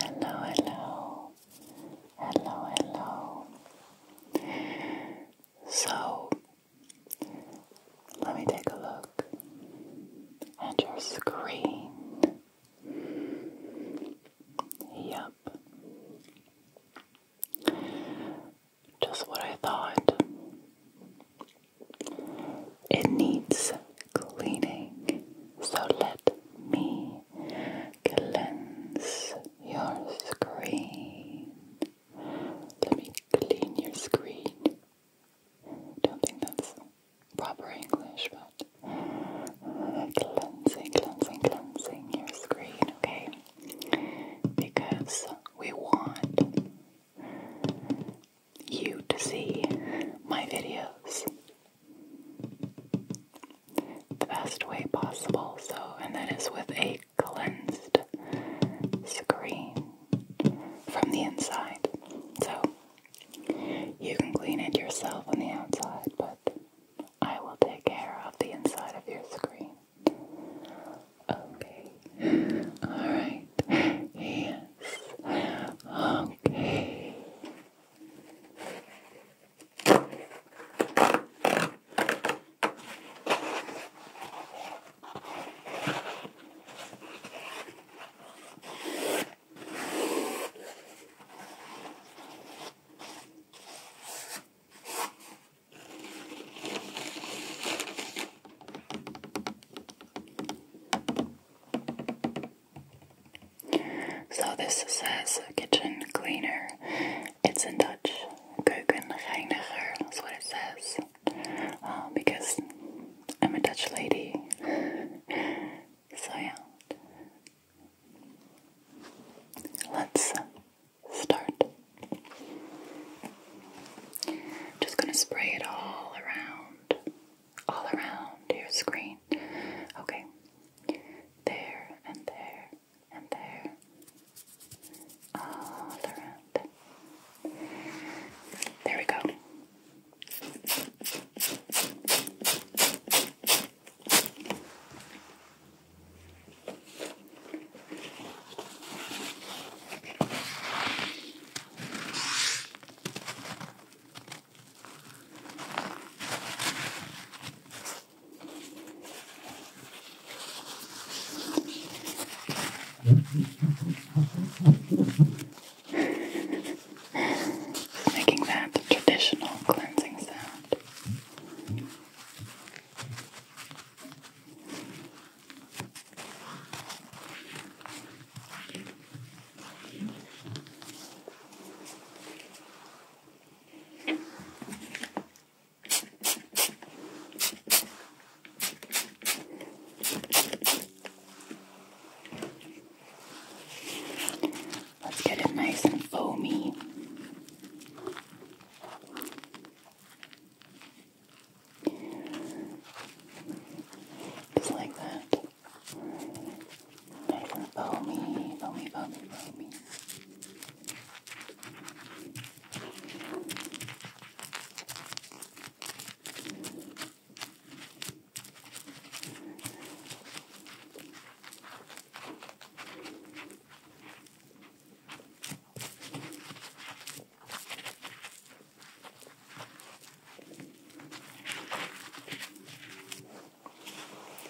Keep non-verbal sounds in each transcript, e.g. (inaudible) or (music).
Hello, hello, hello, hello. So, let me take a look at your screen. Yep. Just what I thought. It needs cleaning, so let me cleanse your screen. Let me clean your screen. Don't think that's proper English, but cleansing, cleansing, cleansing your screen, okay? because we want you to see my videos the best way possible. So, and that is with a cleansed screen from the inside. So, you can clean it yourself on the outside, but I will take care of the inside of your screen. Okay. Alright. Yes. Okay. So this says kitchen cleaner. It's in Dutch. Keukenreiniger, that's what it says. Um, because I'm a Dutch lady. so yeah. Let's start. Just gonna spray it all around, all around your screen. Okay, there and there and there, all around. There we go. Making that traditional cleansing sound. Let's get it nice and foamy. Just like that. Nice and foamy, foamy, foamy, foamy.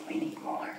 We need more.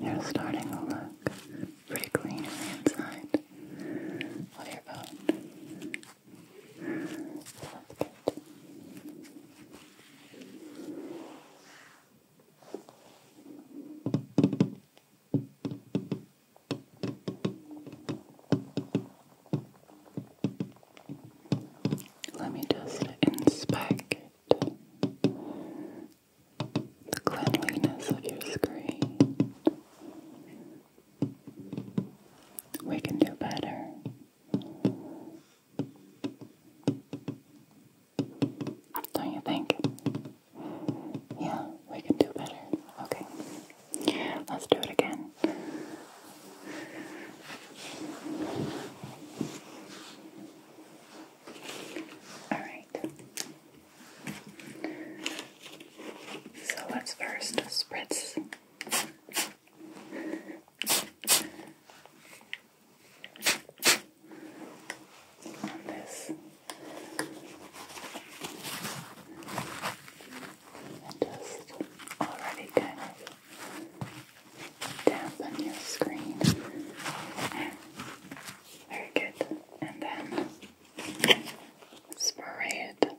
You're starting to look pretty clean on the inside. What about let me just inspect the cleanliness of your screen. We can do better. Don't you think? Yeah, we can do better. Okay. Let's do it again. All right. So let's first spritz. this, just already kind of dampen your screen. Very good, and then spray it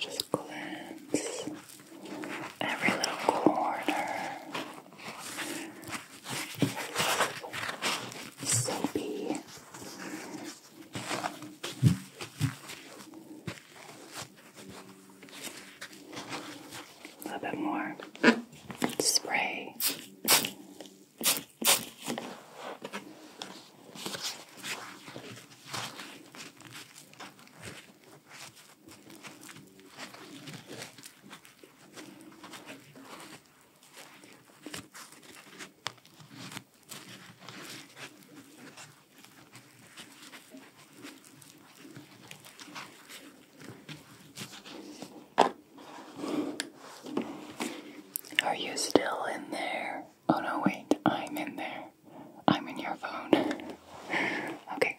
Just glance every little corner. Soapy. A bit more spray. Are you still in there? Oh no, wait, I'm in there. I'm in your phone. (laughs) okay.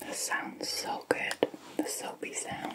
This sounds so good, the soapy sound.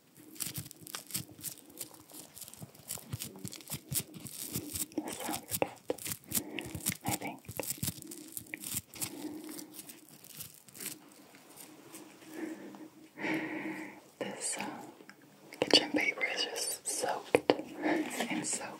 This sounds good, I think. This uh, kitchen paper is just soaked in soap.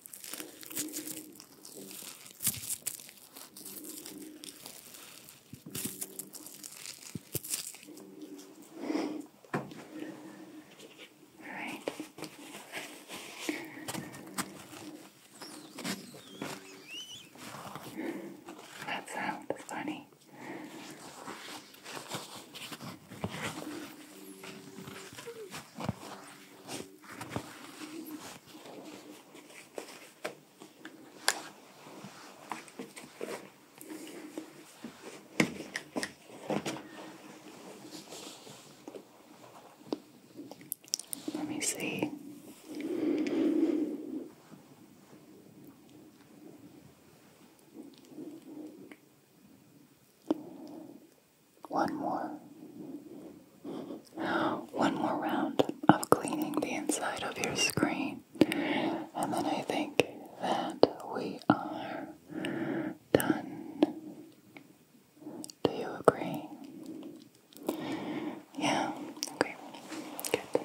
Right. That sounds funny. Let me see. One more. One more round of cleaning the inside of your screen. And then I think that we are done. Do you agree? Yeah, okay. Good.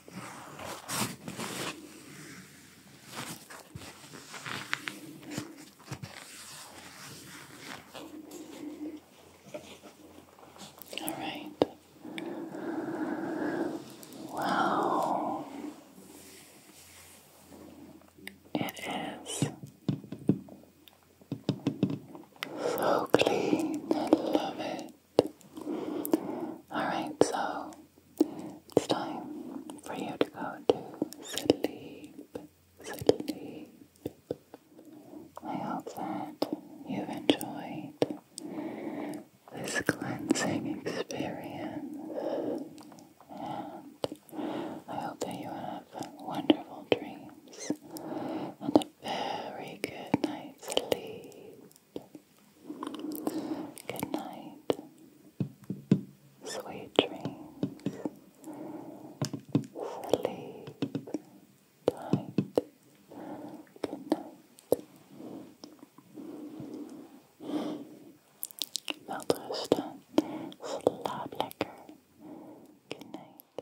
All right. Wow. It is so clean. I love it. Alright, so it's time for you to go to sleep. Sleep. I hope that you've enjoyed this cleansing experience. And I hope that you have wonderful dreams and a very good night's sleep. Good night. Sweet dreams. Sleep tight. Good night. Welterusten. Slaap lekker. Good night.